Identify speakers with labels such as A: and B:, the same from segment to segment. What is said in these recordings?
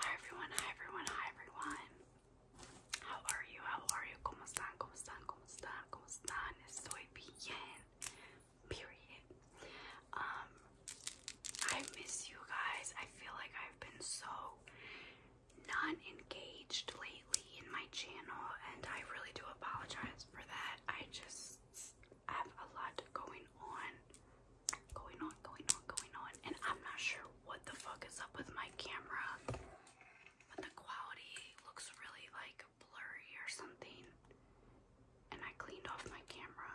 A: Hi everyone, hi everyone, hi everyone. How are you? How are you? ¿Cómo están? ¿Cómo están? ¿Cómo están? ¿Cómo están? Estoy bien. Period. Um I miss you guys. I feel like I've been so not engaged lately in my channel and I really do apologize for that. I just have a lot going on going on, going on, going on, and I'm not sure what the fuck is up with my camera, but the quality looks really like blurry or something. And I cleaned off my camera.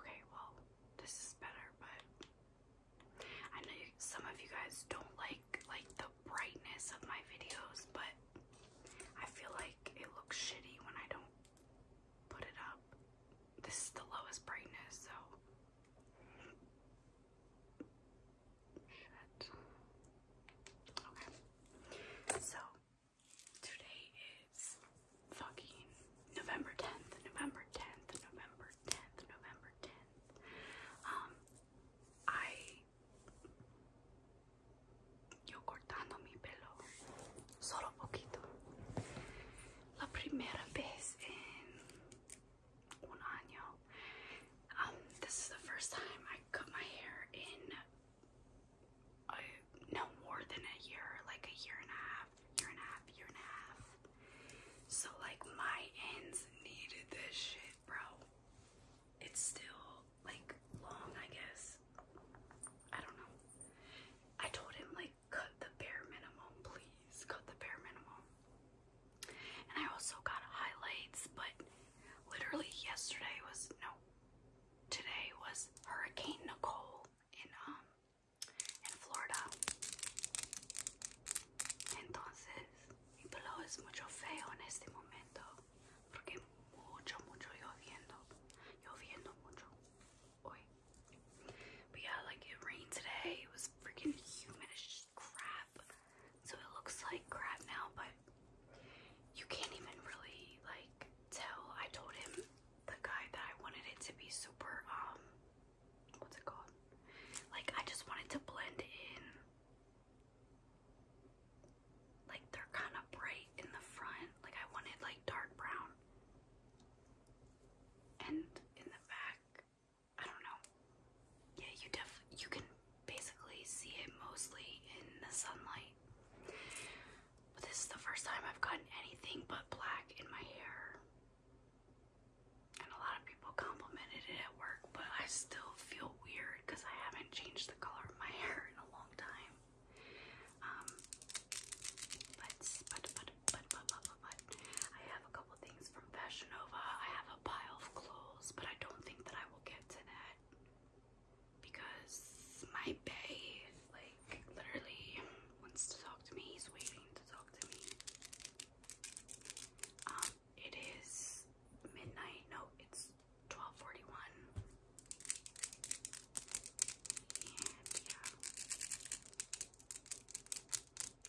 A: Okay, well, this is better, but I know some of you guys don't like like the brightness of my videos, but I feel like it looks shitty when I don't put it up this is the lowest brightness, so. Shit. Okay. So, today is fucking November 10th, November 10th, November 10th, November 10th. Um, I. Yo cortando mi pelo. Solo poquito la primera vez in un año. Um, this is the first time I cut my hair in no more than a year, like a year and a half, year and a half, year and a half. So like my ends needed this shit, bro. It's still like long, I guess. I don't know. I told him like cut the bare minimum, please. Cut the bare minimum. And I also got highlights, but literally yesterday was no, today was Hurricane Nicole in um in Florida. Entonces, mi pelo es mucho feo en este momento porque mucho, mucho lloviendo, lloviendo mucho hoy. But yeah, like it rained today. It was freaking humid as just crap. So it looks like crap now, but you can't even really like tell. I told him the guy that I wanted it to be super um what's it called? Like I just wanted to blend in. Like they're kind of bright in the front. Like I wanted like dark brown and in the back, I don't know. Yeah, you def you can basically see it mostly in the sunlight. But this is the first time I've gotten anything but black in my hair. And a lot of people complimented it at work, but I still feel weird because I haven't changed the color of my hair in a long time. Um, but, but, but, but, but, but, but, I have a couple things from Fashion I have a pile of clothes, but I don't think that I will get to that because my bae, like, literally wants to talk to me. He's waiting to talk to me. Um, it is midnight. No, it's 12:41. And yeah.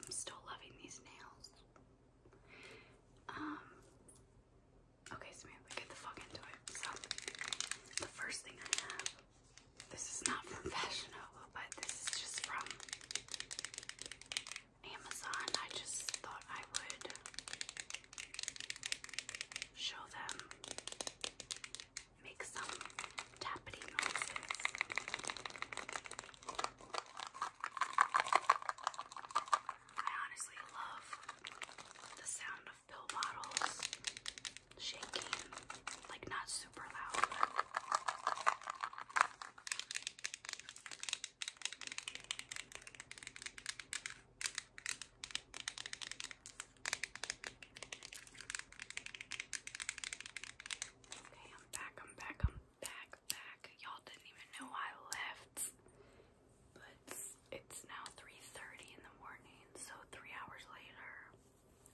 A: I'm still loving these nails. Um, okay, so maybe we get the fuck into it. So, the first thing I have, this is not from Fashion but this is just from Amazon. I just thought I would show them make some tappity noises. I honestly love the sound of pill bottles shaking, like not super loud. Okay, I'm back, I'm back, I'm back, back. Y'all didn't even know I left. But it's now 3.30 in the morning, so three hours later.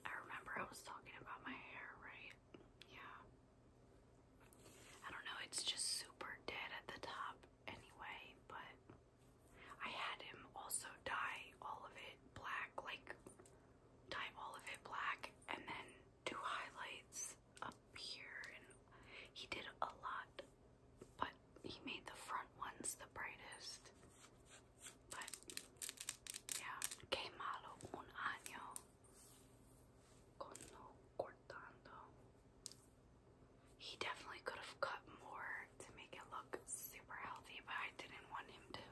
A: I remember I was talking about my hair, right? Yeah. I don't know, it's just super dead at the top anyway, but I had him also dye all of it black, like dye all of it black and then do highlights up here. he did a lot, but he made the front ones the brightest. But yeah, que malo un año cuando cortando. He definitely could have cut more to make it look super healthy, but I didn't want him to.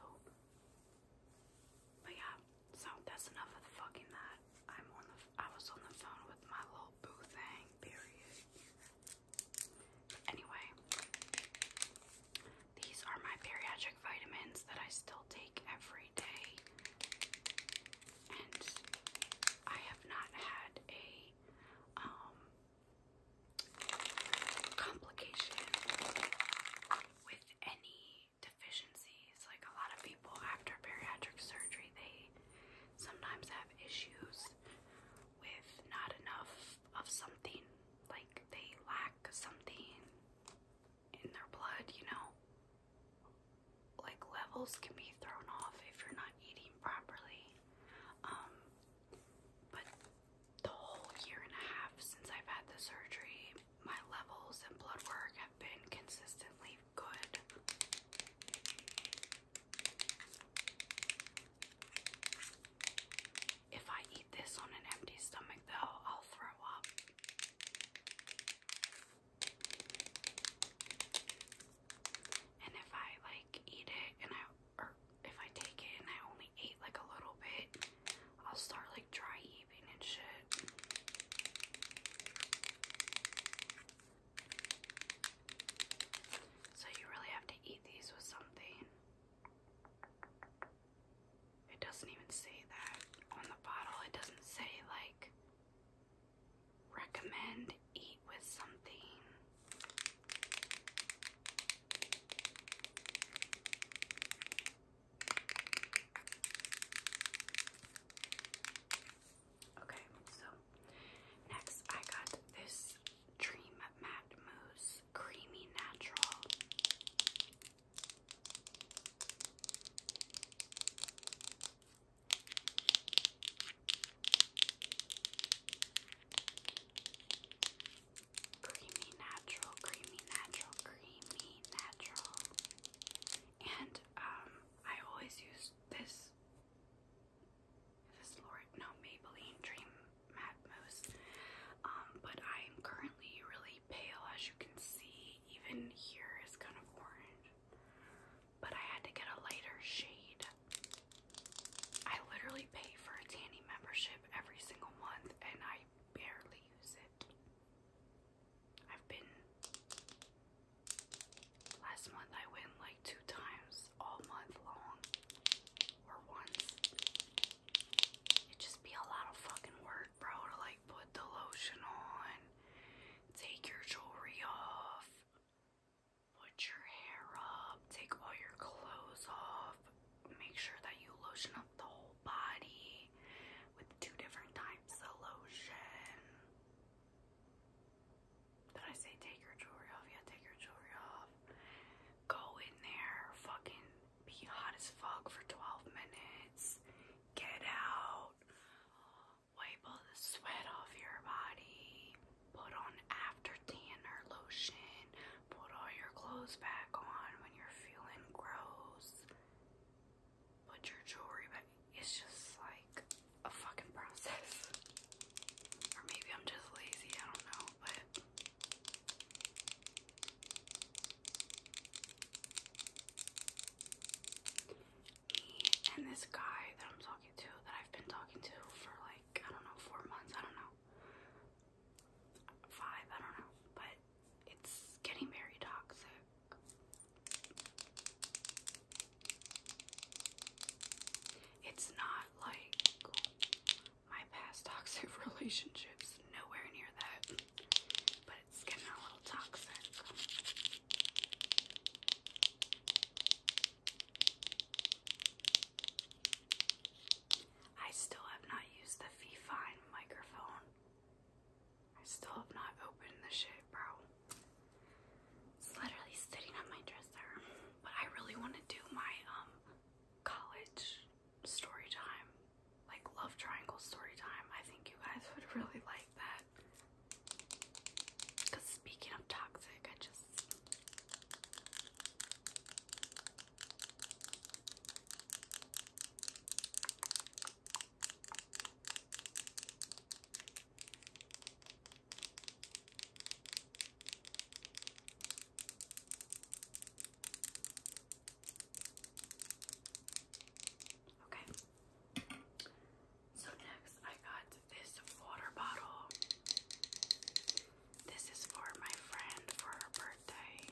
A: But yeah, so that's enough of the fucking that. I'm on the I was on the phone with my little boo thing, period. Anyway, these are my bariatric vitamins that I still take every day. And I have not had a um complication with any deficiencies. Like a lot of people after bariatric surgery, they sometimes have issues with not enough of something. Like they lack something in their blood, you know? Like levels can be thrown off if you're not eating properly. Um, but the whole year and a half since I've had the surgery, my levels and blood work have been consistently good. If I eat this on an empty stomach, though, I'll throw up. And if I like eat it and I, or if I take it and I only ate like a little bit, I'll start like dry heaving and shit. So you really have to eat these with something. It doesn't even say that on the bottle. It doesn't say, like, recommend eat with something. Okay, so next I got this Dream Matte Mousse Creamy Natural. Creamy natural, creamy natural, creamy natural and um, I always use this this Lord no Maybelline Dream Matte Mousse, um, but I am currently really pale, as you can see. Even here is kind of orange, but I had to get a lighter shade. I literally pay for a tanning membership every single month, and I barely use it. I've been last month I went like two times all month long or once. It'd just be a lot of fucking work, bro, to like put the lotion on, take your jewelry off, put your hair up, take all your clothes off, make sure that you lotion up the whole body with two different types of lotion. Did I say take your jewelry off? Yeah, take your jewelry off. Go in there, fucking be hot as fuck for 12 minutes. Get out. Wipe all the sweat off your body. Put on after tanner lotion. Put all your clothes back on when you're feeling gross put your jewelry back. It's just like a fucking process. Or maybe I'm just lazy, I don't know, but and this guy that I'm talking to, that I've been talking to for like, I don't know, four months, I don't know. Five, I don't know, but it's getting very toxic. It's not like my past toxic relationships, nowhere near that, but it's getting a little toxic. I still have not used the Fifine microphone. I still have not opened the shit, bro. It's literally sitting on my dresser. But I really want to do my um college story time, like love triangle story time. I think you guys would really like that. Cause speaking of toxic, I just Okay. So next I got this water bottle. This is for my friend for her birthday.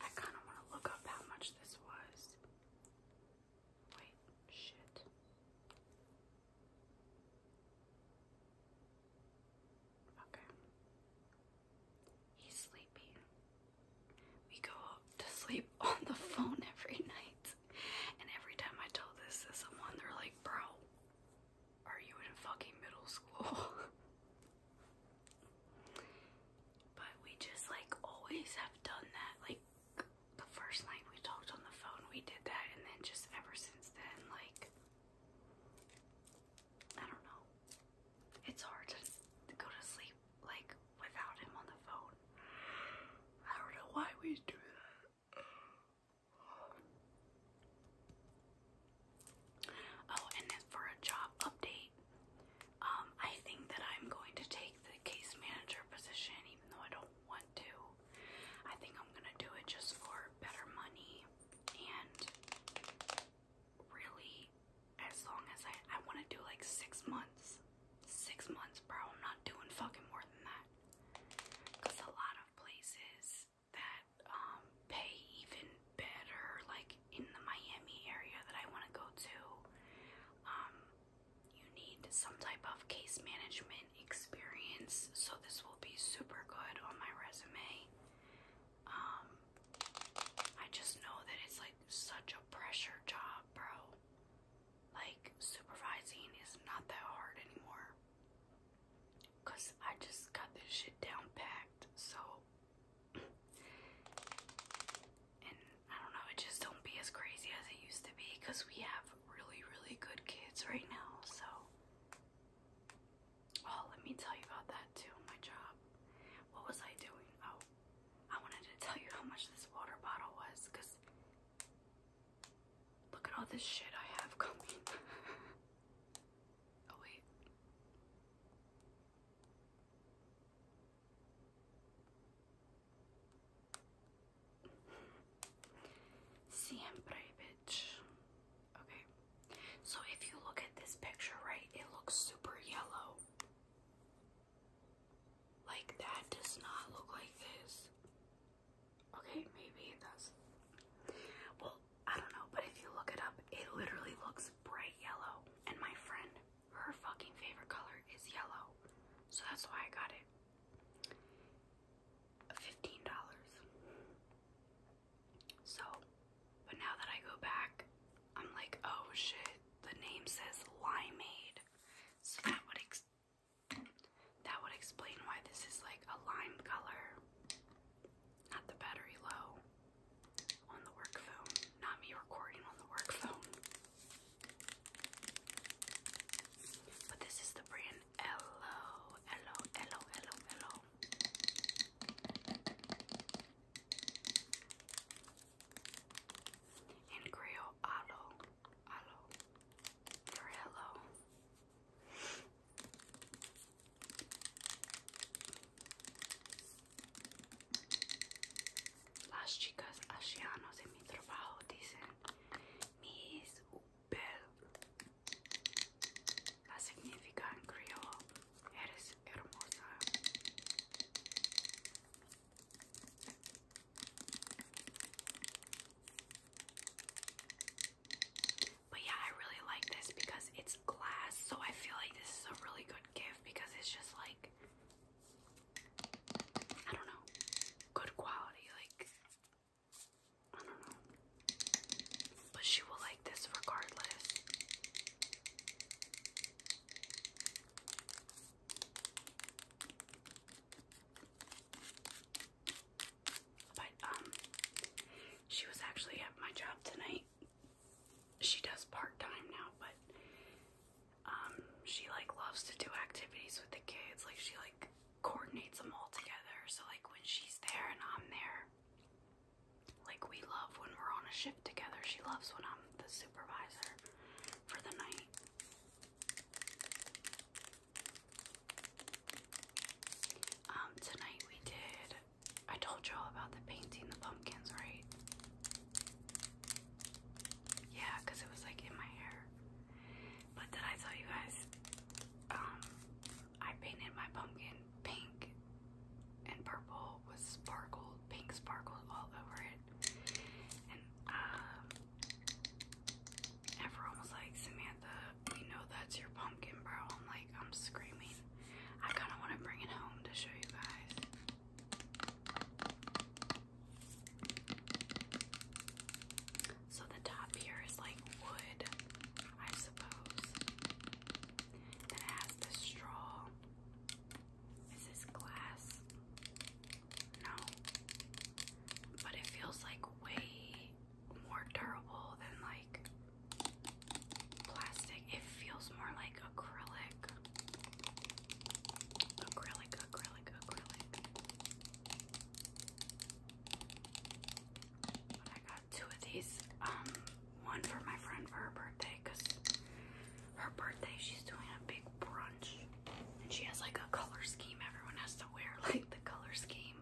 A: I kind of want to look up how much this was. Wait, shit. Okay. He's sleeping. We go to sleep on the phone every night. And every time I tell this to someone, they're like, bro, are you in fucking middle school? but we just like always have done that. Like the first night we talked on the phone, we did that. And then just ever since then, like, I don't know. It's hard to go to sleep like without him on the phone. I don't know why we do that. Oh, and for a job update, um, I think that I'm going to take the case manager position, even though I don't want to. I think I'm gonna do it just for better money and really as long as I I want to do like six months, six months, bro. I'm not doing fucking more than that. Cause a lot of places that um pay even better, like in the Miami area that I want to go to, um, you need some type of case management experience. So this will be super good on my resume. Um, I just know that it's like such a pressure job, bro. Like supervising is not that hard anymore. Cause I just got this shit down packed, so and I don't know, it just don't be as crazy as it used to be because we have really, really good kids right now, so Oh, let me tell you about that too, my job. What was I doing? Oh, I wanted to tell you how much this water bottle was because look at all this shit I have coming. oh, wait. Siempre, bitch. Okay. So if you look at this picture, right, it looks super yellow. Like, that does not look like this. Okay, maybe it Well, I don't know, but if you look it up, it literally looks bright yellow. And my friend, her fucking favorite color is yellow. So that's why I got it. $15. So, but now that I go back, I'm like, oh shit, the name says limeade. So that would ex that would explain why this is like a lime color. Not the battery low on the work phone. Not me recording on the work phone. But this is the brand Hello, Hello, Hello, Hello, Hello. In Creole, alo, alo, for hello. Las chicas asianas en mi trabajo dicen mis upel. a significa en criollo, eres hermosa. But yeah, I really like this because it's glass, so I feel like this is a really good gift because it's just like I don't know, good quality, like I don't know. But she will like this regardless. But um she was actually at my job tonight. She does part-time now, but um she like loves to do activities with the kids. Like she like coordinates them all together. So like when she's there and I'm there, like we love when we're on a shift together. She loves when I'm the supervisor for the night. Um, tonight we did. I told y'all about the painting the pumpkins, right? Yeah, because it was like in my hair. But did I tell you guys? Um, I painted my pumpkin pink and purple with sparkles pink sparkles all over it. And um, everyone was like, Samantha, we know that's your pumpkin, bro. I'm like, I'm screaming. I kinda wanna bring it home to show you guys. So the top here is like wood, I suppose. And it has the straw. This is glass. No. But it feels like way more durable than like plastic. It feels more like acrylic. Acrylic, acrylic, acrylic. But I got two of these. Um, one for my friend for her birthday because her birthday she's doing a big brunch. And she has like a color scheme. Everyone has to wear like the color scheme.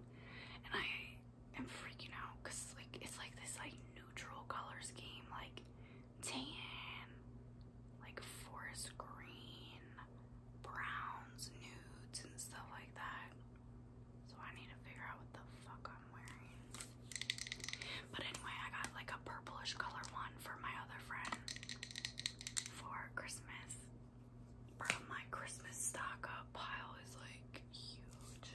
A: And I am freaking out because like it's like this like neutral color scheme, like tan, like forest green, browns, nudes, and stuff like that. So I need to figure out what the fuck I'm wearing. But anyway, I got like a purplish color one for my other friend for Christmas. my Christmas stock up pile is like huge.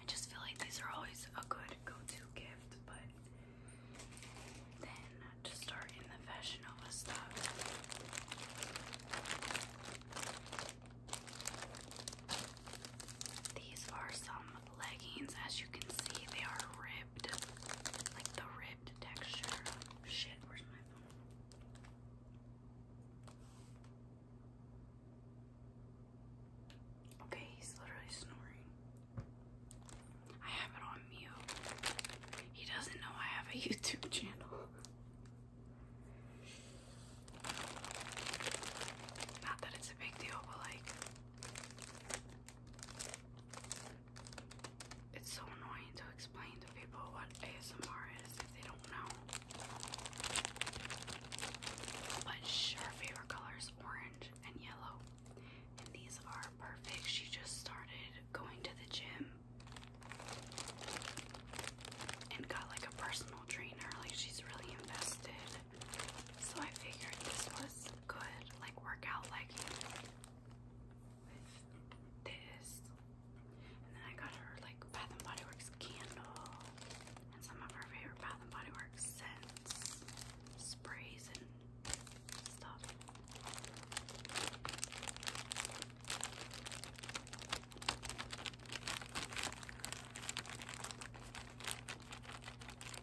A: I just feel like these are always a good go-to gift, but then to start the Fashion Nova stuff. These are some leggings. As you can see, they are ripped. like the ribbed texture. Shit, where's my phone? Okay, he's literally snoring. I have it on mute. He doesn't know I have a YouTube channel. Not that it's a big deal, but like, it's so annoying to explain to people what ASMR is if they don't know. But her favorite color orange and yellow. And these are perfect. She just started going to the gym and got like a personal trainer. Like she's really invested so I figured this was good, like workout legging with this. And then I got her like Bath and Body Works candle and some of her favorite Bath and Body Works scents, sprays and stuff.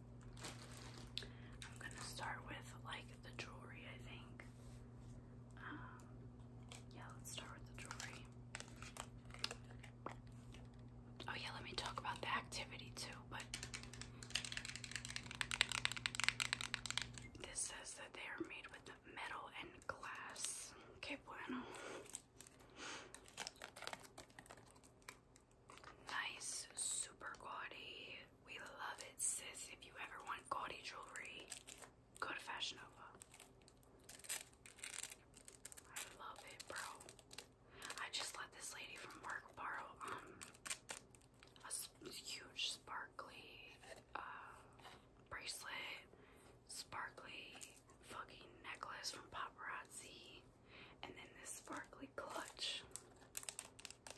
A: I'm gonna start with like the jewelry, I think. Um, yeah, let's start with the jewelry. Oh, yeah, let me talk about the activity too. But this says that they are made with metal and glass. Okay, bueno. Nice, super gaudy. We love it, sis. If you ever want gaudy jewelry, go to Fashion Nova. I love it, bro. I just let this lady from work borrow um a huge sparkly uh, bracelet, sparkly fucking necklace from paparazzi, and then this sparkly clutch.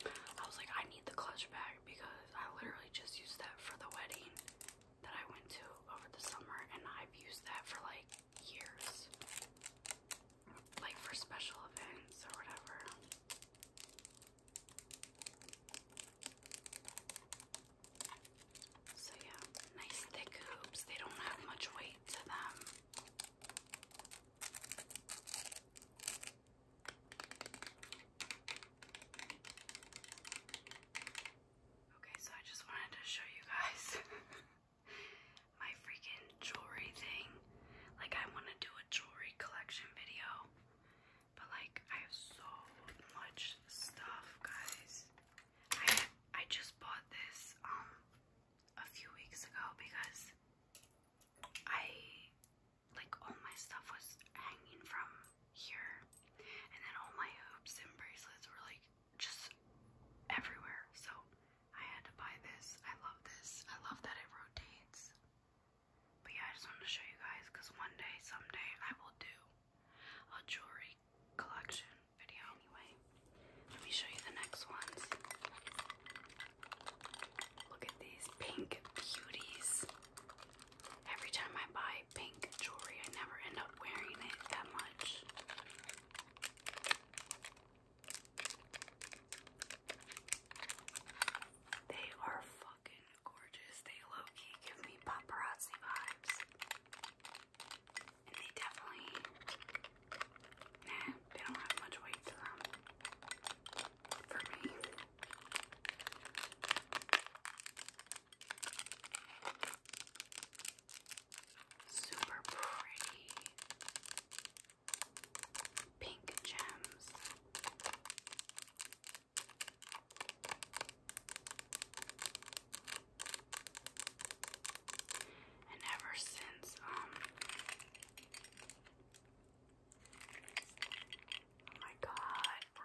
A: I was like, I need the clutch bag because I literally just used that for the wedding that I went to over the summer, and I've used that for like years, like for special events or whatever. So, yeah, nice thick hoops, they don't have much weight to them. Okay, so I just wanted to show you guys my freaking jewelry thing. Like, I want to do a jewelry collection video, but like, I have so much stuff, guys. I I just bought this um a few weeks ago because I like all my stuff was hanging from here, and then all my hoops and bracelets were like just everywhere. So I had to buy this. I love this. I love that it rotates. But yeah, I just wanted to show you guys because one day, someday, I will do a jewelry collection video. Anyway, let me show you the next ones. Look at these pink beauties. Every time I buy pink jewelry, I never end up wearing it that much. They are fucking gorgeous. They low key give me paparazzi vibes. And they definitely, nah, they don't have much weight to them for me. Super pretty pink gems. And ever since um Oh my god, bro.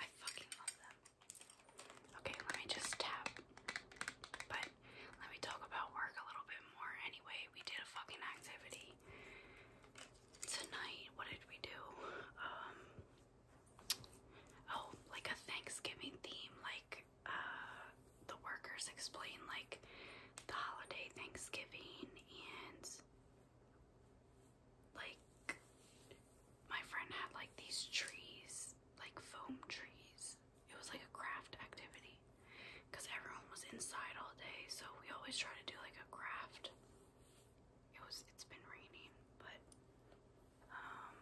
A: I fucking love them. Okay, let me just tap. But let me talk about work a little bit more. Anyway, we did a fucking activity tonight. What did we do? Um Oh, like a Thanksgiving theme, like uh, the workers explain like the holiday Thanksgiving and like my friend had like these trees, like foam trees. It was like a craft activity because everyone was inside all day, so we always try to do like a craft. It was it's been raining, but um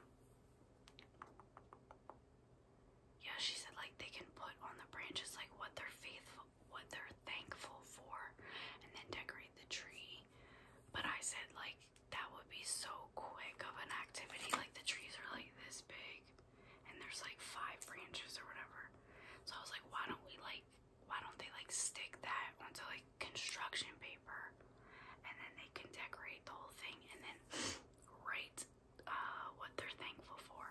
A: yeah, she said like they can put on the branches like what they're faithful what they're thankful for and then decorate the tree. But I said, like, that would be so quick of an activity. Like, the trees are like this big and there's like five branches or whatever. So I was like, why don't we, like, why don't they, like, stick that onto like construction paper and then they can decorate the whole thing and then write uh, what they're thankful for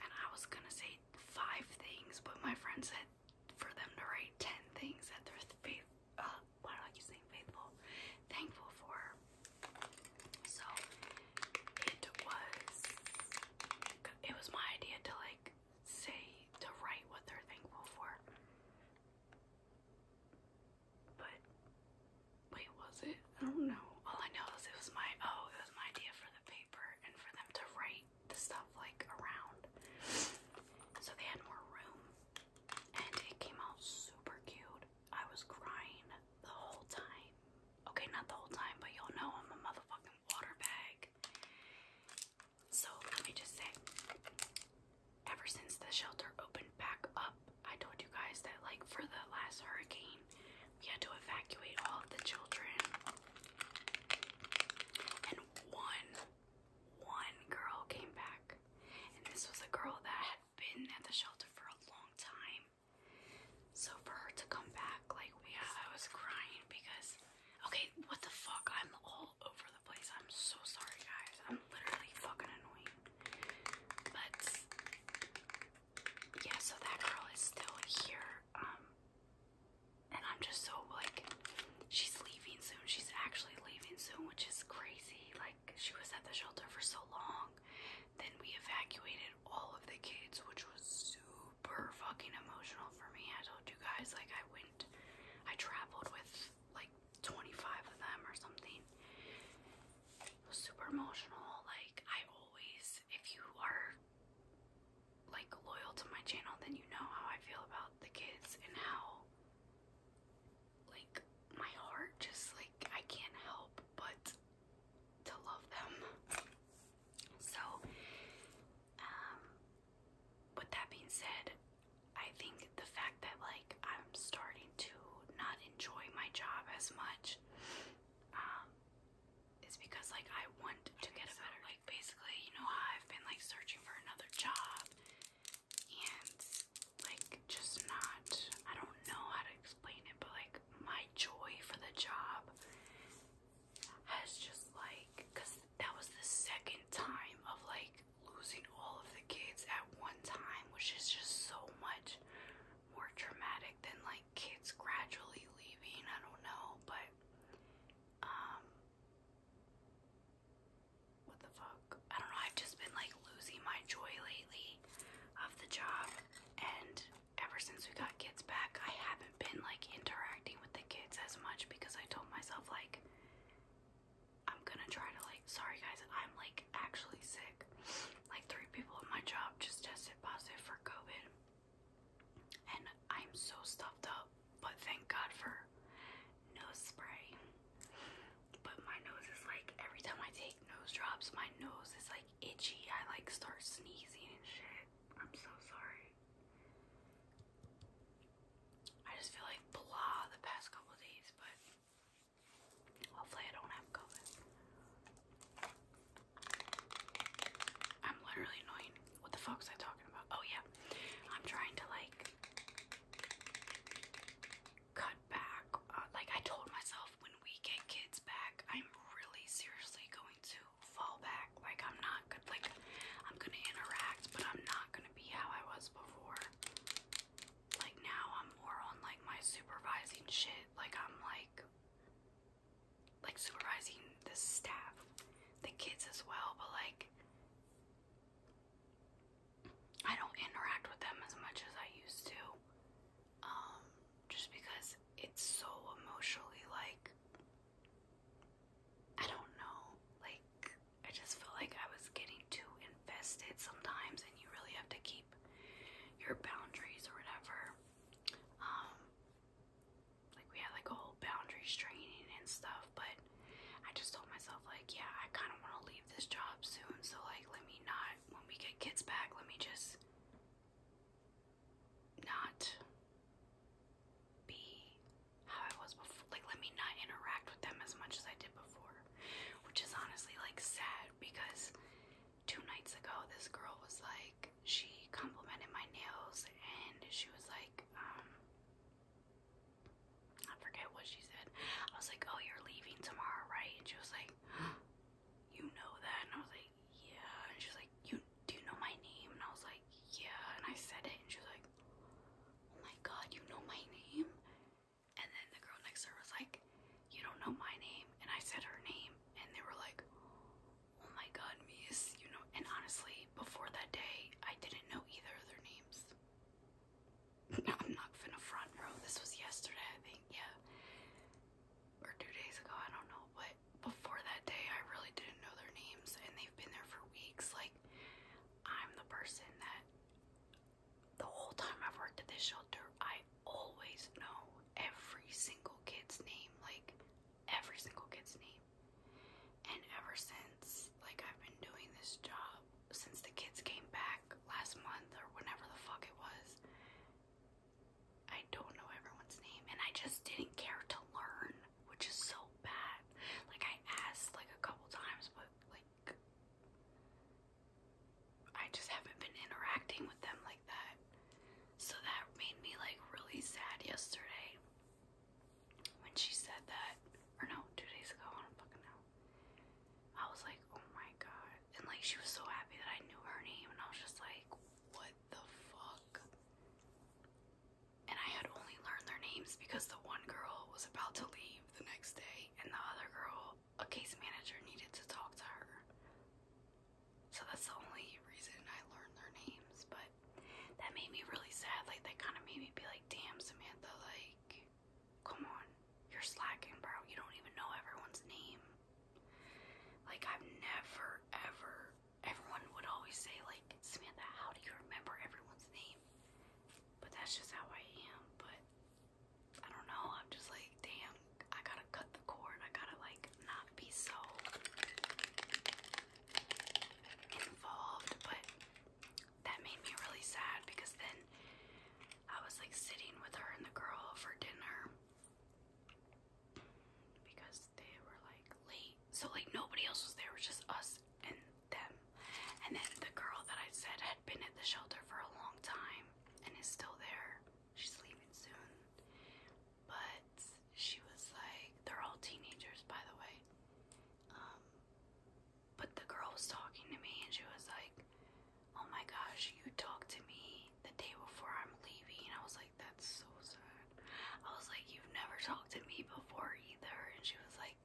A: and I was gonna say five things, but my friend said for them to write ten things that they're faith. Uh, why do I keep saying faithful? Thankful for. So it was. It was my idea to like say to write what they're thankful for. But wait, was it? I don't know. All I know is was my oh, it was my idea for the paper and for them to write the stuff like around. So they had more room and it came out super cute. I was crying the whole time. Okay, not the whole time, but y'all know I'm a motherfucking water bag. So let me just say, ever since the shelter opened back up, I told you guys that like for the last hurricane, we had to evacuate all of the children and one, one girl came back. And this was a girl that had been at the shelter for a long time. So for her to come back, like, yeah, I was crying because, okay, what the fuck? I'm all over the place. I'm so sorry, guys. I'm literally fucking annoying. But, yeah, so that girl is still here. Um, and I'm just so like, she's leaving soon. She's actually leaving soon, which is crazy. Like, she was at the shelter for so long. Then we evacuated all of the kids, which was super fucking emotional for me. I told you guys, like, I went, I traveled with like 25 of them or something. super emotional. Like, I always, if you are like loyal to my channel, then you know how I feel about the kids and how like my heart just like I can't help but to love them. So um with that being said, I think the fact that like I'm starting to not enjoy my job as much um is because like I want to get a better like basically, you know how I've been like searching for another job and like just not I don't know how to explain it, but like my joy for the job has just like cuz that was the second time of like losing all of the kids at one time, which is just so much more traumatic than like kids gradually leaving. I don't know, but um, what the fuck? I don't know. I've just been like losing my joy lately of the job, and ever since we got kids back, I haven't been like interacting with the kids as much because I told myself, like, I'm gonna try to, like, sorry guys, I'm like actually sick. Like, three people at my job just tested positive for COVID and I'm so stuffed up, but thank God for nose spray. But my nose is like every time I take nose drops, my nose is like itchy. I like start sneezing and shit. I'm so sorry. I just feel like blah the past couple days, but hopefully I don't have COVID. I'm literally annoying. What the fuck is I talking about? Oh yeah, I'm trying to like cut back. Uh, like I told myself, when we get kids back, I'm really seriously going to fall back. Like I'm not good. Like I'm gonna interact, but I'm not gonna be how I was before. Like now, I'm more on like my supervising shit. Like I'm like like supervising the staff, the kids as well, but like I don't interact with them as much as I used to. Um, just because it's so emotionally like I don't know, like I just feel like I was getting too invested sometimes and you really have to keep your boundaries or whatever. Um, like we had like a whole boundaries training and stuff, but I just told myself like, yeah, I kind of want to leave this job soon, so like let me not when we get kids back, let me just not be how I was before. Like let me not interact with them as much as I did before, which is honestly like sad because two nights ago this girl was like she complimented my nails and she was like um I forget what she said. I was like, "Oh, you're leaving tomorrow, right?" And she was like, "You know that?" And I was like, "Yeah." And she was like, "You do you know my name?" And I was like, "Yeah." And I said it, and she was like, "Oh my God, you know my name?" And then the girl next to her was like, "You don't know my name," and I said her name, and they were like, oh my god, Mies, you know. And honestly, before that day, I didn't know either of their names. I'm not finna front, This was yesterday, I think, yeah. Or two days ago, I don't know. But before that day, I really didn't know their names, and they've been there for weeks. Like, I'm the person that the whole time I've worked at this shelter, I always know every single kid's name. Like, every single kid's name. And ever since, like, I've been doing this job since the kids came back last month or whenever the fuck it was. I don't know everyone's name, and I just didn't care to learn, which is so bad. Like, I asked like a couple times, but like, I just haven't been interacting with them like that. So that made me like really sad yesterday when she said that, or no, two days ago, I don't fucking know. I was like, oh my god. And like, she was so happy that I knew her name, and I was just like, what the fuck? And I had only learned their names because the one girl was about to leave the next day, and the other girl, a case manager, needed to talk to her. So that's the only reason I learned their names, but that made me really sad. Like that kind of made me be like, damn, Samantha, like, come on, you're slacking, bro. You don't even know everyone's name. Like I've never ever. Everyone would always say like, Samantha, how do you remember everyone's name? But that's just how I am. But I don't know. I'm just like, damn. I gotta cut the cord. I gotta like not be so involved, but that made me really sad because then I was like sitting with her and the girl for dinner because they were like late. So like nobody else was there, it was just us and them. And then the girl that I said had been at the shelter for a long time and is still there. She's leaving soon. But she was like, they're all teenagers, by the way. Um, but the girl was talking to me and she was like, Oh my gosh, you talked to me the day before I'm leaving. I was like, That's so sad. I was like, You've never talked to me before either. And she was like,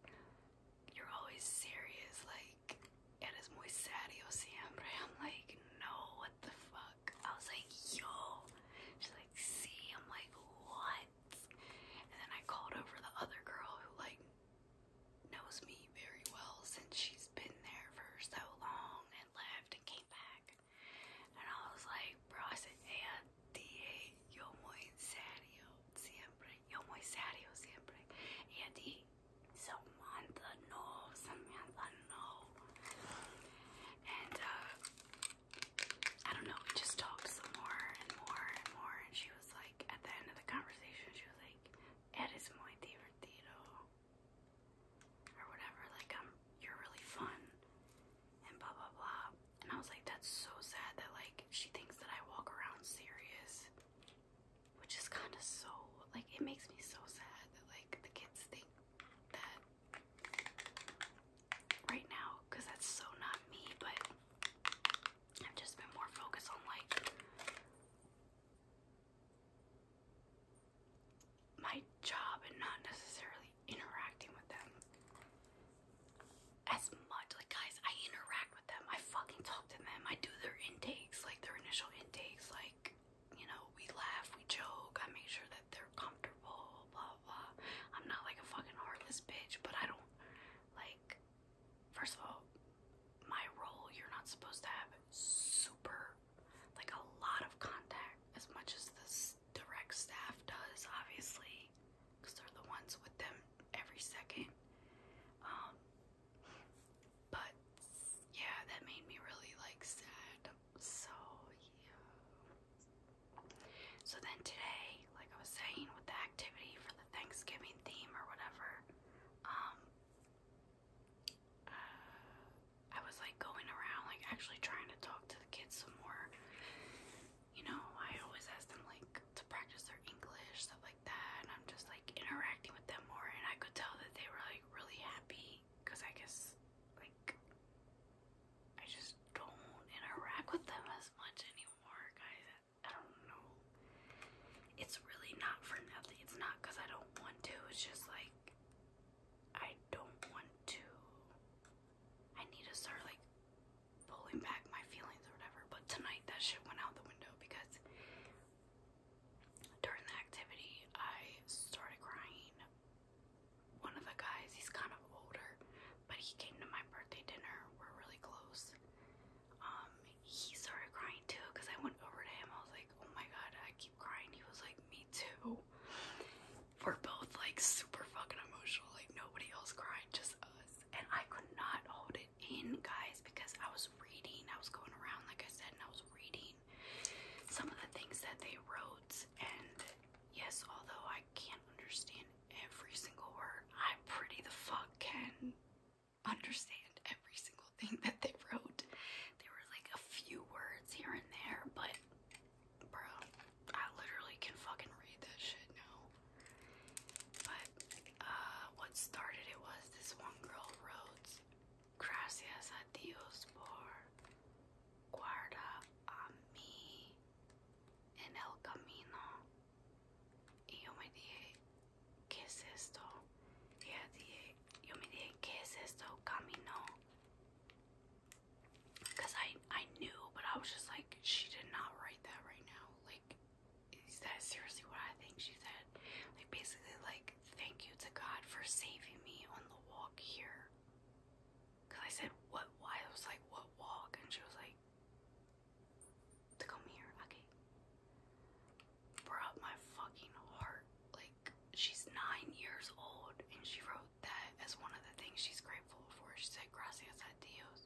A: You're always serious. Like, eres muy serio siempre. I'm like, No, what the fuck? I was like, Yo. She's like, See? I'm like, What? And then I called over the other girl who, like, knows me very well since she's been there for so long and left and came back. And I was like, bro, I said, hey, I dije, muy serio siempre, yo muy serio siempre. Y I dije, Samantha, no, Samantha, no. And, uh, I don't know, we just talked some more and more and more and she was like at the end of the conversation she was like Eres muy divertido or whatever, like um you're really fun and blah blah blah and I was like that's so sad that like she thinks that I walk around serious which is kinda so like it makes me so sad that like the kids think that right now because that's so not me, but I've just been more focused on like my job and not necessarily interacting with them as much. Like, guys, I interact with them, I fucking talk to them, I do their intakes, like their initial intakes, like you know, we laugh, we joke, I make sure that they're comfortable, blah blah. I'm not like a fucking heartless bitch, but I don't like, first of all, my role, you're not supposed to have super, like, a lot of contact as much as this direct staff does, obviously, because they're the ones with them every second. Um, but yeah, that made me really, like, sad. So, yeah. So then today, like I was saying, with the activity for the Thanksgiving theme or whatever, um, uh, I was like going around, like actually trying to talk to the kids some more. You know, I always ask them like to practice their English, stuff like that, and I'm just like interacting with them more, and I could tell that they were like really happy because I guess like I just don't interact with them as much anymore, guys. I don't know. It's really not for nothing. It's not because I don't want to. It's just like I don't want to. I need to start like pulling back my feelings or whatever. But tonight that shit went out the window because during the activity I started crying. One of the guys, he's kind of older, but he came to my birthday dinner. We're really close. Um, he started crying too because I went over to him. I was like, oh my god, I keep crying. He was like, me too. We're both like super fucking emotional. Like nobody else cried, just us. And I could not hold it in, guys, because I was reading. I was going around, like I said, and I was reading some of the things that they wrote. And yes, although I can't understand every single word. I pretty the fuck can understand every single thing that they wrote. There were like a few words here and there, but bro, I literally can fucking read that shit now. But uh, what started it was this one girl wrote Gracias a Dios por guarda a mí en el camino Y yo me dije, ¿qué es I, knew, but I was just like, she did not write that right now. Like, is that seriously what I think she said? Like, basically, like, thank you to God for saving me on the walk here. Because I said, what? Why? I was like, what walk? And she was like, to come here. Okay. Brought my fucking heart. Like, she's nine years old, and she wrote that as one of the things she's grateful for. She said, Gracias a Dios.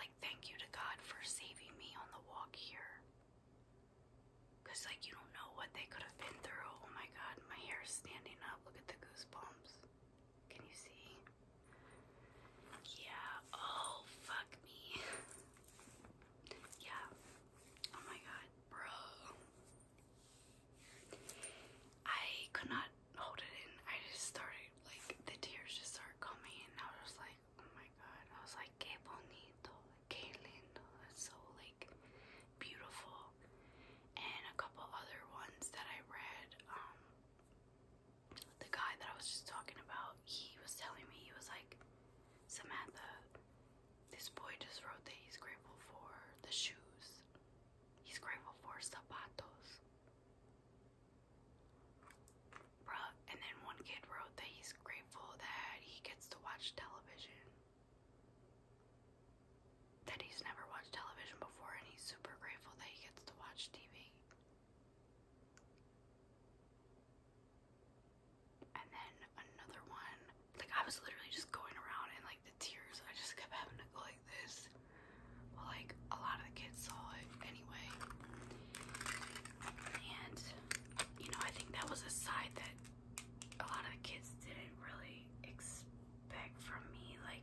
A: Like, thank you to God for saving me on the walk here. Because, like, you don't know what they could have been through. Oh my god, my hair is standing up. Look at the goosebumps. Can you see? Yeah. Oh, fuck me. yeah. Oh my god, bro. I could not hold it in. I just started, like, the tears just started coming and I was like, oh my god. I was like, que bonito, que lindo. That's so, like, beautiful. And a couple other ones that I read, um, the guy that I was just talking about, he was telling me, he was like, Samantha, this boy just wrote that he's grateful for the shoes. He's grateful for zapatos. Bruh, and then one kid wrote that he's grateful that he gets to watch television. That he's never watched television before and he's super grateful that he gets to watch TV. And then another one, like I was literally just going around and like the tears, I just kept having to go like this. But like a lot of the kids saw it anyway. And you know, I think that was a side that a lot of kids didn't really expect from me. Like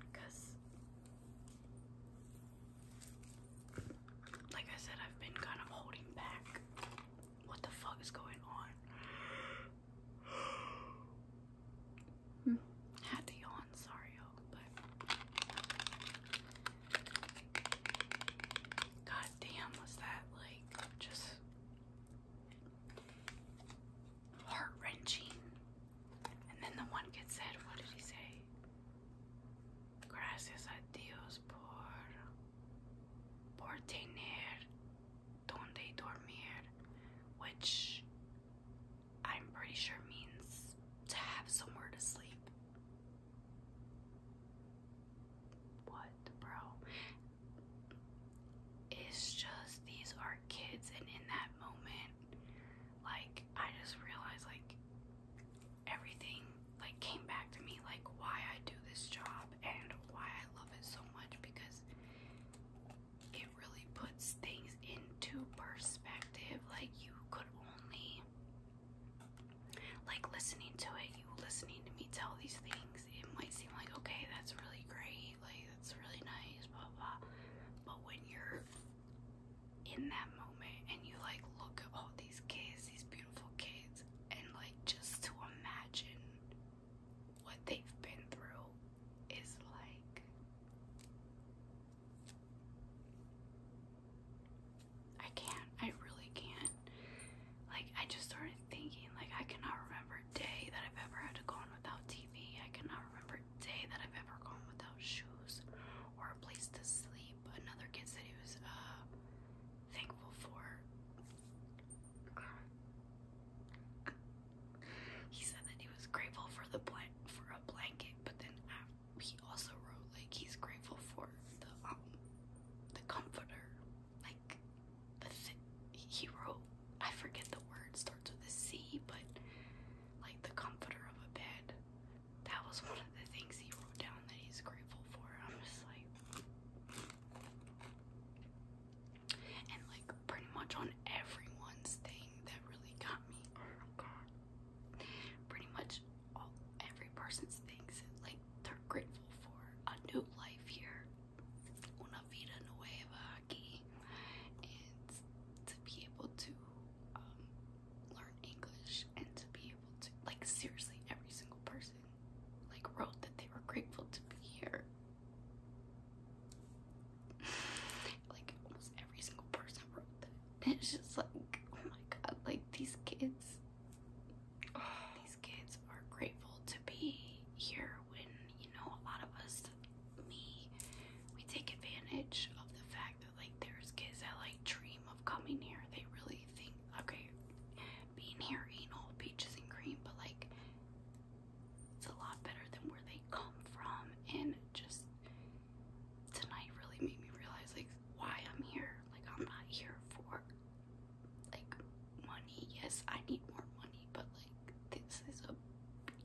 A: because, like I said, I've been kind of holding back. What the fuck is going on? Hmm, had to yawn, sorry, you but god was that like just heart wrenching and then the one kid said, What did he say? Gracias a Dios por, por tener donde dormir, which I'm pretty sure means to have somewhere to sleep. What, bro? It's just these are kids, and in that moment, like I just realized like everything like came back to me like why I do this job and why I love it so much because it really puts things into perspective like you could only like listening to it you listening to me tell these things it might seem like okay that's really great like that's really nice blah blah but when you're in that moment and you like look at all these kids, these beautiful kids, and like just to imagine what they've been through is like I can't, I really can't. Like, I just started thinking, like, I cannot remember a day that I've ever had to go on without TV. I cannot remember third day that I've ever gone without shoes or a place to sleep. Another kid said he was uh, thankful for. He said that he was grateful for the blank for a blanket, but then he also wrote like he's grateful for the um the comforter, like the he wrote. I forget the word starts with a C, but like the comforter of a bed that was one of the things he wrote down that he's grateful for. I'm just like, and like pretty much on everyone's thing that really got me. Oh pretty much all every person's things that like they're grateful for a new life here, una vida nueva aquí, and to be able to um, learn English and to be able to, like, seriously, every single person, like, wrote that they were grateful to be here. like, almost every single person wrote that. And it's just like, oh my god, like, these kids, these kids are grateful to be here when, you know, a lot of us, me, we take advantage of the fact that like there's kids that like dream of coming here. They really think okay, being here ain't all peaches and cream, but like it's a lot better than where they come from. And just tonight really made me realize like why I'm here. Like I'm not here for like money. Yes, I need more money, but like this is a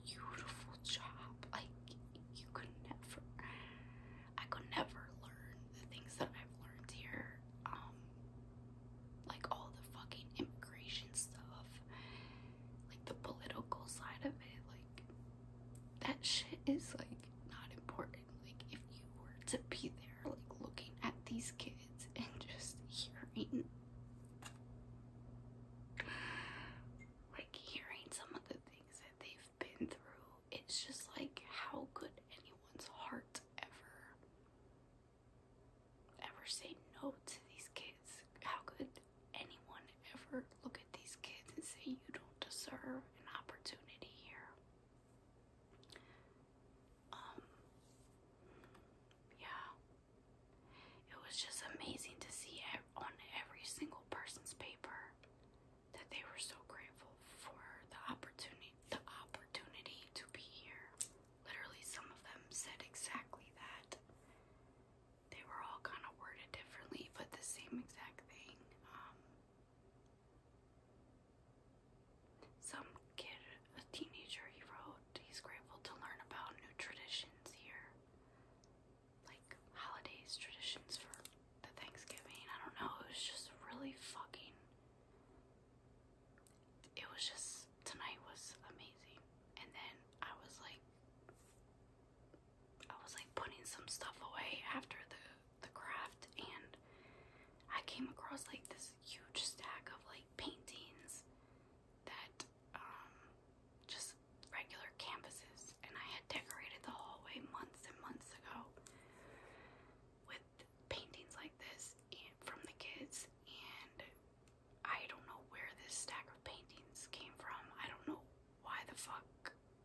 A: beautiful job. Like you could never I could never learn the things that I've learned here. Um, like all the fucking immigration stuff, like the political side of it, like that shit is like not important. Like if you were to be there, like looking at these kids and just hearing like hearing some of the things that they've been through it's just like how could anyone's heart ever ever say no to these kids? How could anyone ever look at these kids and say you don't deserve an opportunity here? Um yeah. It was just amazing to see on every single person's paper that they were so grateful for the opportunity the opportunity to be here. Literally some of them said exactly that. They were all kind of worded differently, but the same exact thing. Um, some kid, a teenager, he wrote, he's grateful to learn about new traditions here like holidays, traditions for the Thanksgiving. I don't know. It was just really fucking. It was just tonight was amazing, and then I was like, I was like putting some stuff away after the the craft, and I came across like this huge stack of like paintings that um just regular canvases and I had decorated the hallway months and months ago with paintings like this and from the kids, and I don't know where this stack of paintings came from. I don't know why the fuck,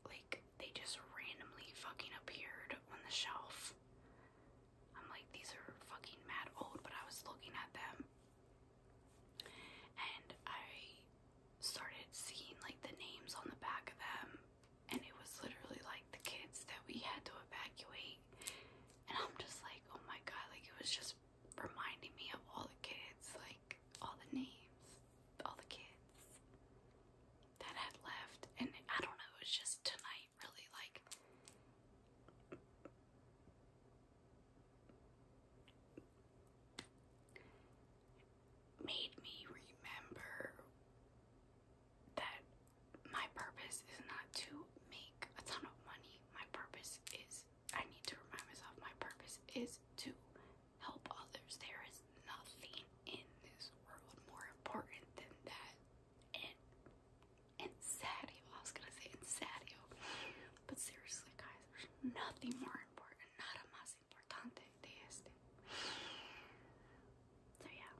A: like, they just randomly fucking appeared on the shelf. I'm like, these are fucking mad old, but I was looking at them and I started seeing like the names on the back of them and it was literally like the kids that we had to evacuate. And I'm just like, oh my god, like it was just reminding me of all the kids, like all the names, all the kids that had left. And I don't know, it was just tonight really like made me remember that my purpose is not to make a ton of money. My purpose is, I need to remind myself, my purpose is to help others. There is nothing in this world more important than that. And, and sadio, I was gonna say and sadio, but seriously, guys, there's nothing more important. Nada más so yeah,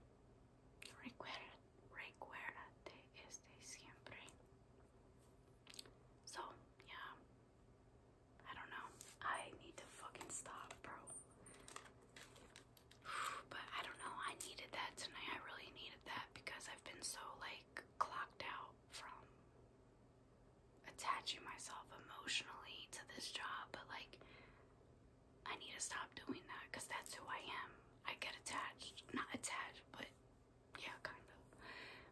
A: recuerda, recuérdate este siempre. So yeah, I don't know. I need to fucking stop, bro. But I don't know. I needed that tonight. I really needed that because I've been so like clocked out from attaching myself emotionally to this job, but like I need to stop doing that because that's who I am. I get attached, not attached, but yeah, kind of.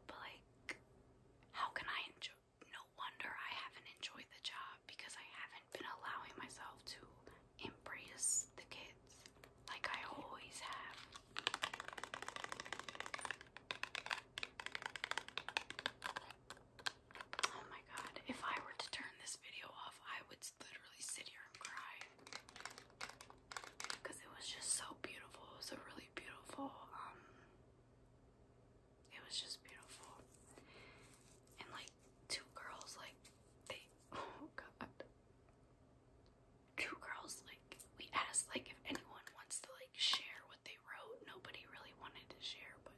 A: But like, how can I enjoy? No wonder I haven't enjoyed the job because I haven't been allowing myself to embrace the kids like I always have. Oh my god, if I were to turn this video off, I would literally sit here and cry. Because it was just so beautiful. It was a really beautiful, um, it was just beautiful. And like, two girls, like, they, oh god. Two girls, like, we asked, like, if anyone wants to, like, share what they wrote. Nobody really wanted to share, but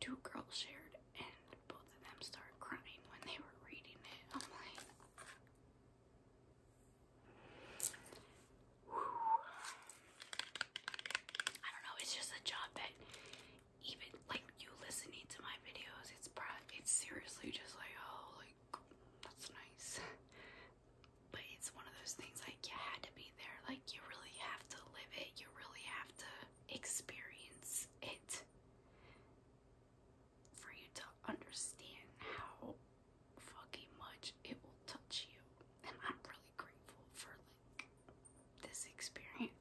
A: two girls shared, and both of them started crying when they were reading it. I'm like, I don't know. It's just a job that even like you listening to my videos, it's probably it's seriously just like oh like that's nice. But it's one of those things like you had to be there. Like you really have to live it. You really have to experience it for you to understand how fucking much it will touch you. And I'm really grateful for like this experience.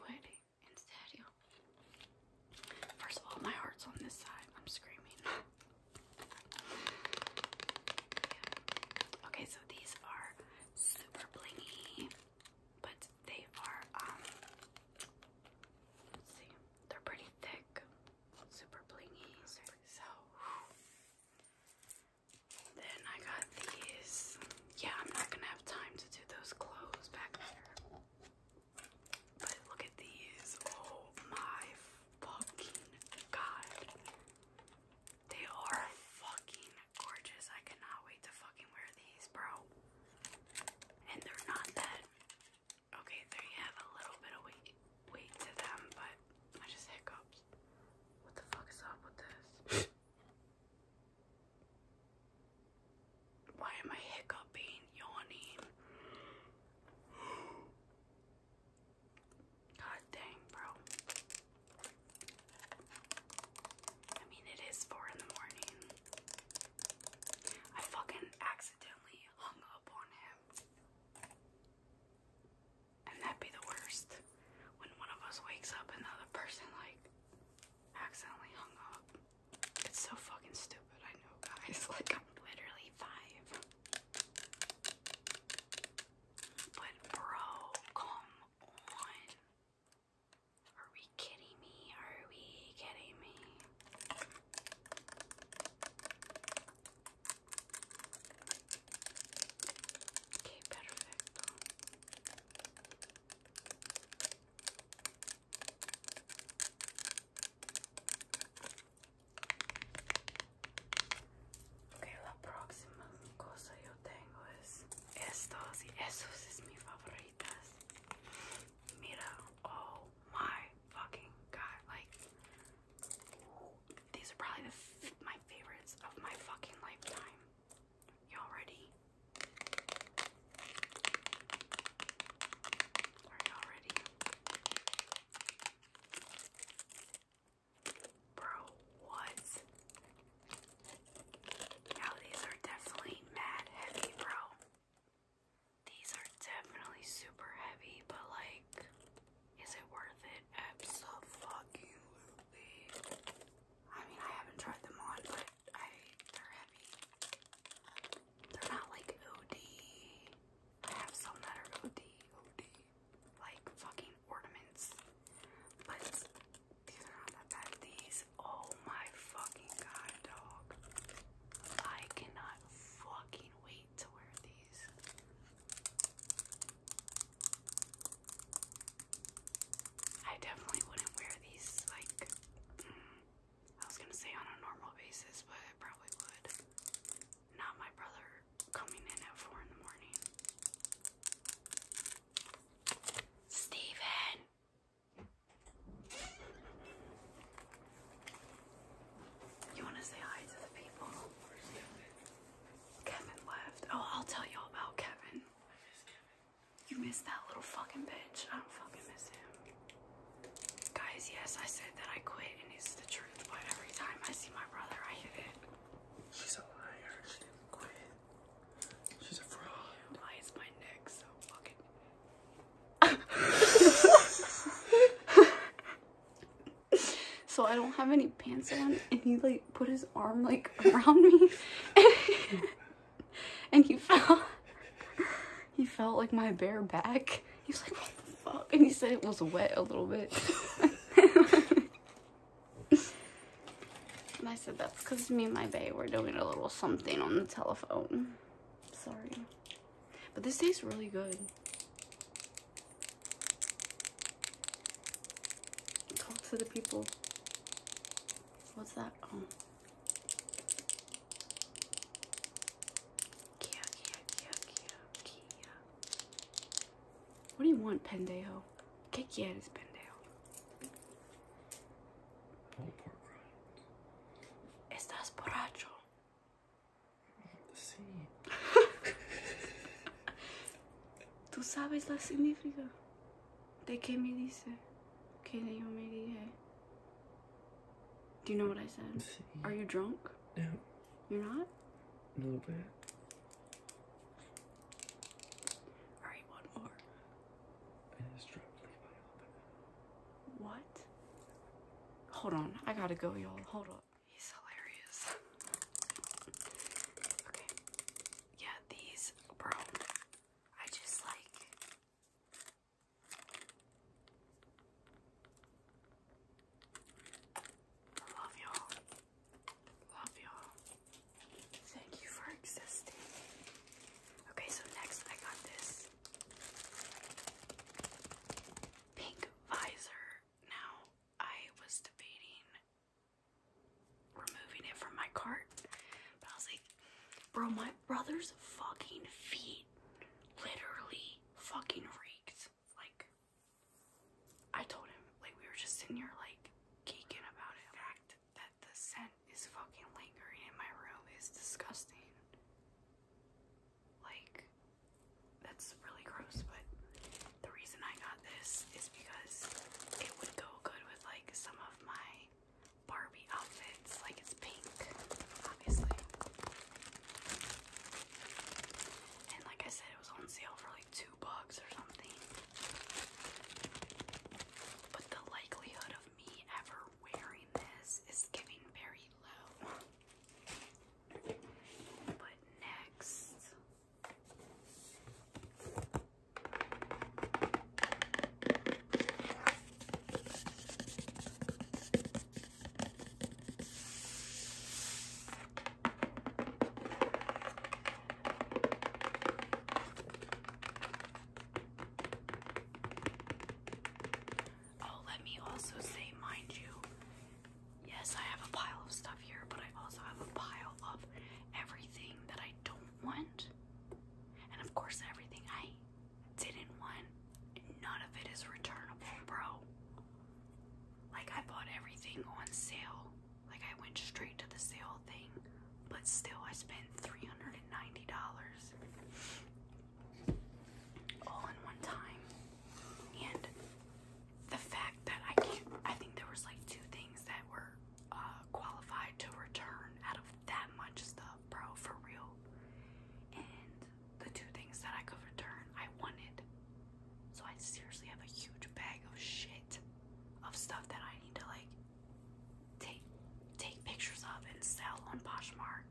A: instead, First of all, my heart's on this side. I'm screaming. Okay, so these are super blingy, but they are, um, they're pretty thick, super blingy. So, then I got these. Yeah, I'm not gonna have time to do those clothes back there. But look at these. Oh my fucking god. They are fucking gorgeous. I cannot wait to fucking wear these, bro. And they're not that. Okay, they have a little bit of weight, weight to them, but I just hiccups. What the fuck is up with this? Why am I hiccuping, yawning? God dang, bro. I mean, it is 4 in the morning. I fucking accidentally hung up on him. And that'd be the worst. When one of us wakes up and the other person, like, accidentally hung up. It's so fucking stupid, I know, guys. Like, I'm literally five. But, bro, come on. Are we kidding me? Are we kidding me? Okay, perfect. Ok, la próxima cosa yo tengo es estos y esos es mis favoritas. Mira, oh my fucking god, like these are probably the my favorites of my fucking lifetime. Y'all ready? Are you ready? Bro, what? Now these are definitely mad heavy, bro. These are definitely super heavy, but like, is it worth it? Absolutely. I mean, I haven't tried them on, but I they're heavy. They're not like OD. I have some that are OD, OD, like fucking ornaments. But these are not that bad. These, oh my fucking god, dog. I cannot fucking wait to wear these. I definitely wouldn't wear these like. Mm, I was gonna say on a normal basis, but it probably would. Not my brother coming in at four in the morning. Steven! You wanna say hi to the people? Kevin left. Oh, I'll tell you all about Kevin. You missed that little fucking bitch. I don't fucking miss him. Guys, yes, I said that I quit, and it's the truth, but every time I see my brother, I hit it. She's a liar. She didn't quit. She's a fraud. Why is my neck so fucking... so I don't have any pants on, and he, like, put his arm, like, around me, and he fell he felt like my bare back. He was like, what the fuck? And he said it was wet a little bit. and I said, that's because me and my bae were doing a little something on the telephone. Sorry. But this tastes really good. Talk to the people. What's that? Oh. ¿Qué pendejo? ¿Qué quieres, pendejo? Estás borracho. Sí. Tú sabes la significa de qué me dice, ¿Qué yo me dije. Do you know what I said? Are you drunk? Yeah. You're not? A little bit. Alright, one more. I just dropped What? Hold on. I gotta go, y'all. Hold on. He's hilarious. okay. Yeah, these, bro. I just like. Love y'all. Love y'all. Thank you for existing. Okay, so next I got this pink visor. Now, I was debating removing it from my cart, but I was like, bro, my brother's fucking feet literally fucking reeked. Like, I told him, like, we were just sitting here, like, geeking about it. The fact that the scent is fucking lingering in my room is disgusting. Like, that's really gross, but the reason I got this is because it would go good with, like, some of my Barbie outfit it's like it's pink, obviously. And like I said, it was on sale for like two bucks or something. But the likelihood of me ever wearing this is giving very low. But next. Oh, let me also say, mind you, yes, I have a pile of stuff here, but I also have a pile of everything that I don't want. And of course, everything I didn't want. None of it is returnable, bro. Like, I bought everything on sale. Like, I went straight to the sale thing, but still, I spent $390 all in one time. And the fact that I can't, I think there was like two things that were uh, qualified to return out of that much stuff, bro, for real. And the two things that I could return I wanted. So I seriously have a huge bag of shit of stuff that I need to like take take pictures of and sell on Poshmark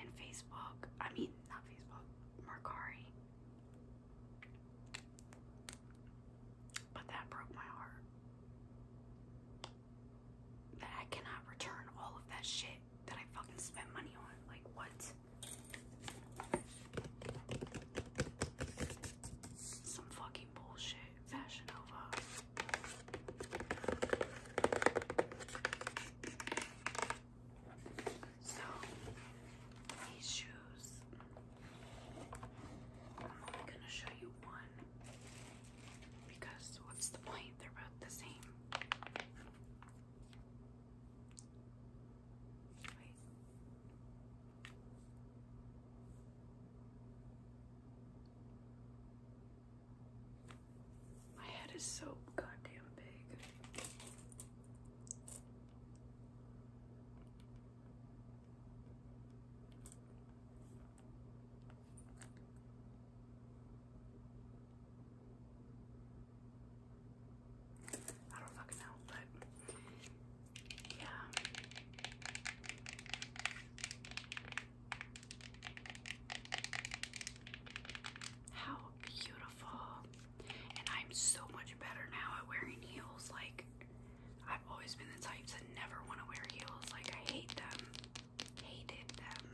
A: and Facebook. I mean not Facebook, Mercari. But that broke my heart. That I cannot return all of that shit that I fucking spent money on. Like what? Some fucking bullshit. Fashion Nova. So these shoes. I'm only gonna show you one because what's the point? They're about the same. My head is so goddamn big. I don't fucking know, but yeah. How beautiful. And I'm so much better now at wearing heels. Like, I've always been the type to never want to wear heels. Like, I hate them. Hated them.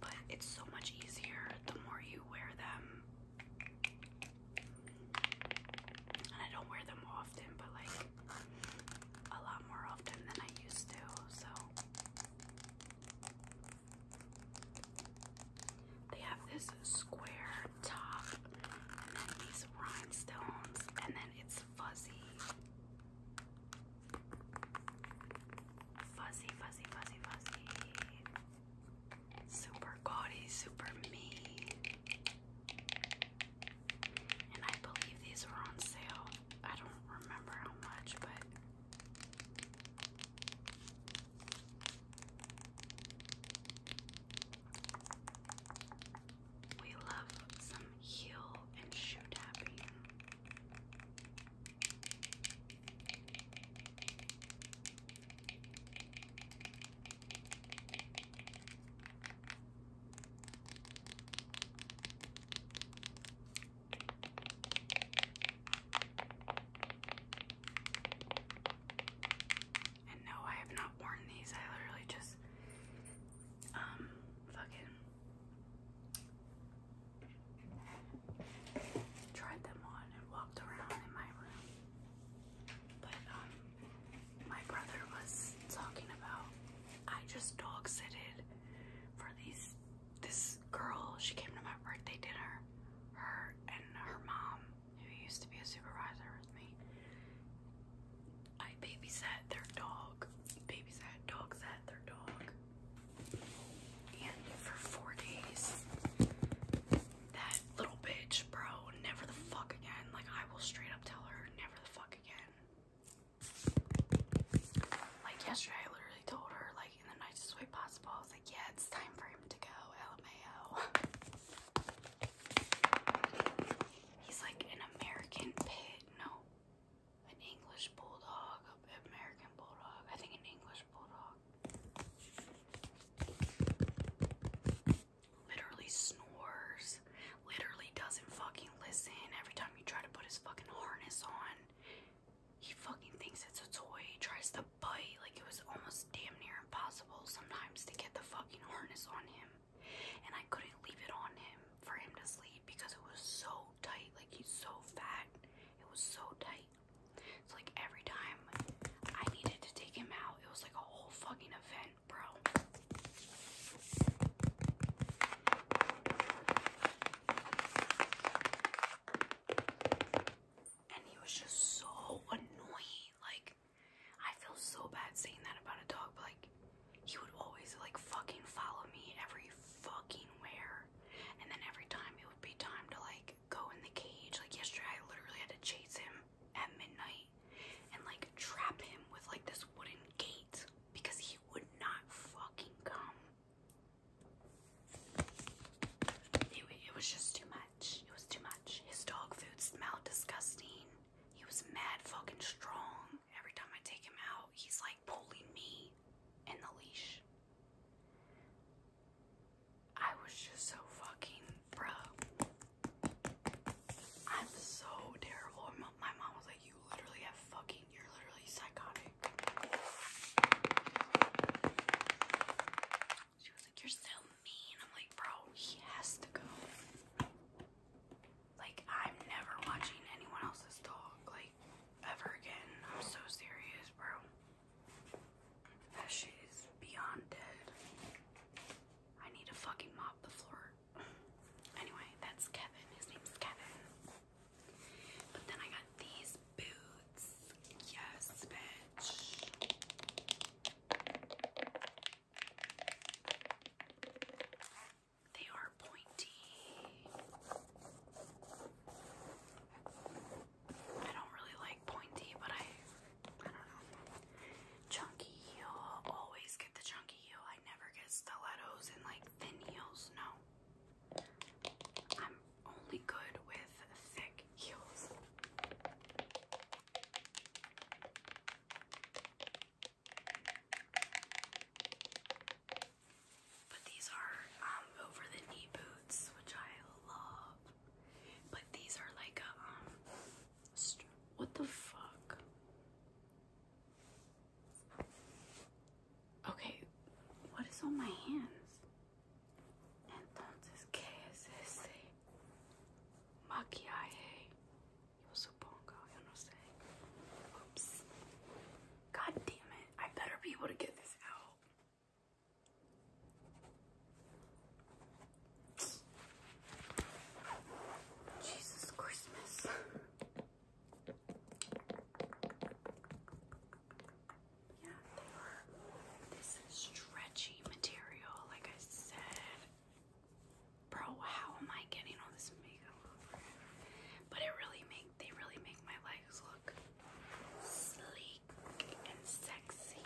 A: But it's so much easier the more you wear them. I don't wear them often, but like a lot more often than I used to, so. They have this square top, and then these rhinestones, and then it's fuzzy. Fuzzy, fuzzy, fuzzy, fuzzy. Super gaudy, super me. And I believe these were on sale. I don't remember how much, but. We love some heel and shoe tapping. And no, I have not worn these. I literally just um fucking tried them on and walked around in my room. But um my brother was talking about I just dog sitted for these this girl, she came to my birthday dinner, her and her mom, who used to be a supervisor with me. I babysat their dog. Babysat, dog sat their dog. And for four days, that little bitch, bro, never the fuck again. Like, I will straight up tell her, never the fuck again. Like, yesterday, I literally told her, like, in the nicest way possible, I was like, yeah, time for him to go, LMAO. He's like an American pit, no. An English bulldog, American bulldog. I think an English French literally snores, literally doesn't fucking listen. Every time you try to put his fucking harness on, he fucking thinks it's a toy, he tries to bite. Like it was almost damn near impossible sometimes to get the fucking harness on him. And I couldn't leave it on him for him to sleep because it was so tight. Like he's so fat. It was so tight night. like every time I needed to take him out, it was like a whole fucking event, bro. And he was just so annoying. Like, I feel so bad saying that about a dog, but like, he would always like fucking follow me every fucking where. And then every time it would be time to like go in the cage. Like yesterday, I literally had to chase him at midnight and like trap him with like this wooden gate because he would not fucking come. It, it was just too much. It was too much. His dog food smelled disgusting. He was mad fucking strong. Every time I take him out, he's like pulling me in the leash. I was just so fucking, bruh. I'm so terrible. My mom was like, you literally have fucking, you're literally psychotic. She was like, you're so mean. I'm like, bro, he has to go. Like, I'm never watching anyone else's dog, like, ever again. I'm so serious, bro. That shit beyond dead. I need to fucking mop the floor. Anyway, that's Kevin. His name's Kevin. But then I got these boots. Yes, bitch. They are pointy. I don't really like pointy, but I, I don't know. Chunky heel, always get the chunky heel. I never get stilettos and like thin heels, no. I'm only good with thick heels. But these are um, over the knee boots, which I love. But these are like a um. What the fuck? Okay, what is on my hands? Entonces, ¿qué es ese maquillaje? Yo supongo, yo no sé. Oops. God damn it. I better be able to get this out. Jesus Christmas. Yeah, they are this stretchy material, like I said. Bro, how am I getting all this makeup over But it really make they really make my legs look sleek and sexy.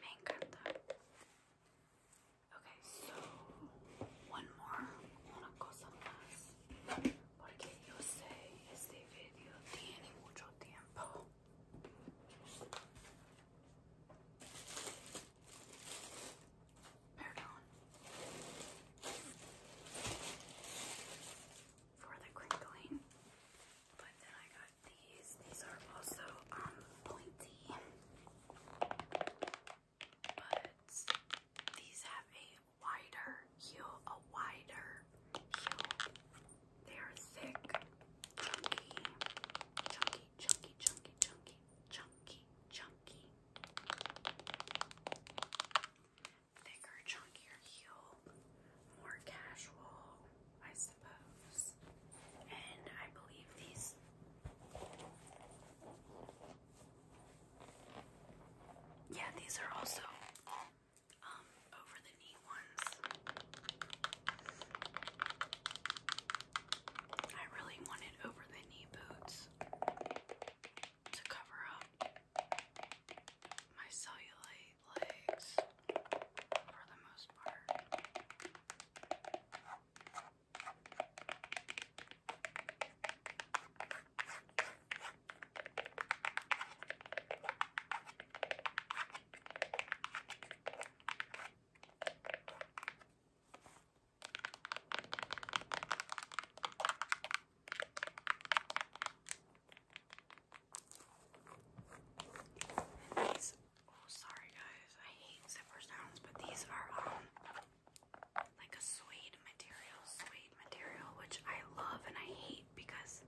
A: Me Okay, so one more, una cosa más, porque yo sé este video tiene mucho tiempo. Pardon. For the crinkling. But then I got these. These are also um pointy. But these have a wider heel, a wider heel. They are thick, chunky, chunky, chunky, chunky, chunky, chunky, chunky. Thicker, chunkier heel, more casual, I suppose. And I believe these. Yeah, these are also um over the knee ones. I really wanted over the knee boots to cover up my cellulite legs for the most part oh sorry guys, I hate zipper sounds, but these are um like a suede material, suede material, which I love and I hate because,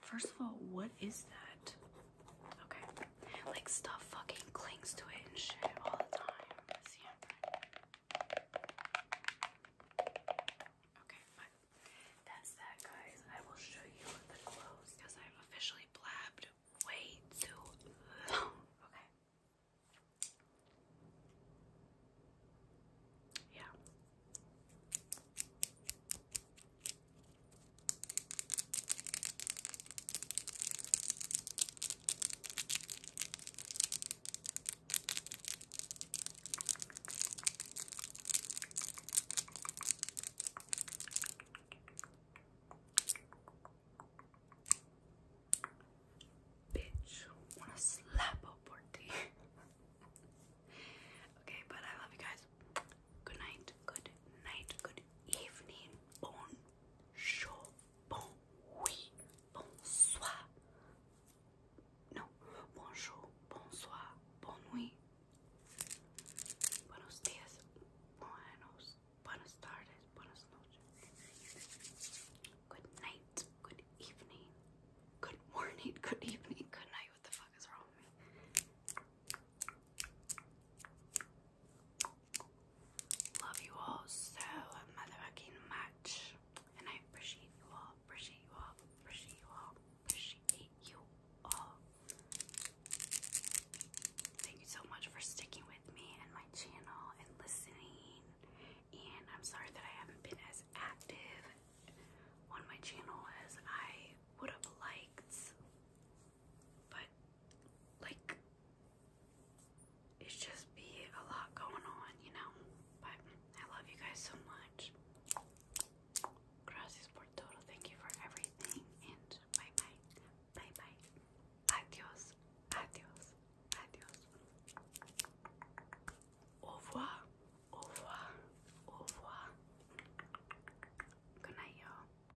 A: First of all, what is that? Okay. Like stuff fucking clings to it and shit all the time. Okay, that's that, guys. I will show you the clothes because I've officially blabbed way too long. Okay. Yeah. Bitch, wanna slap up for okay, but I love you guys. Good night, good night, good evening. Bon bonsoir. No, bonjour, bonsoir, bon nuit. Buenos dias, buenos, buenas tardes, buenas noches. Good night, good evening, good morning, good evening, good night. What the fuck is wrong Love you all so motherfucking much. And I appreciate you all, appreciate you all, appreciate you all, appreciate you all. Thank you so much for sticking with me and my channel and listening. And I'm sorry that I haven't been as active on my channel as I would have liked. But like it's just be a lot going on, you know. But I love you guys so much. Gracias por todo. Thank you for everything. And bye bye. Bye bye. Adios. Adios. Adios. Au revoir. Au revoir. Au revoir. Good night, y'all.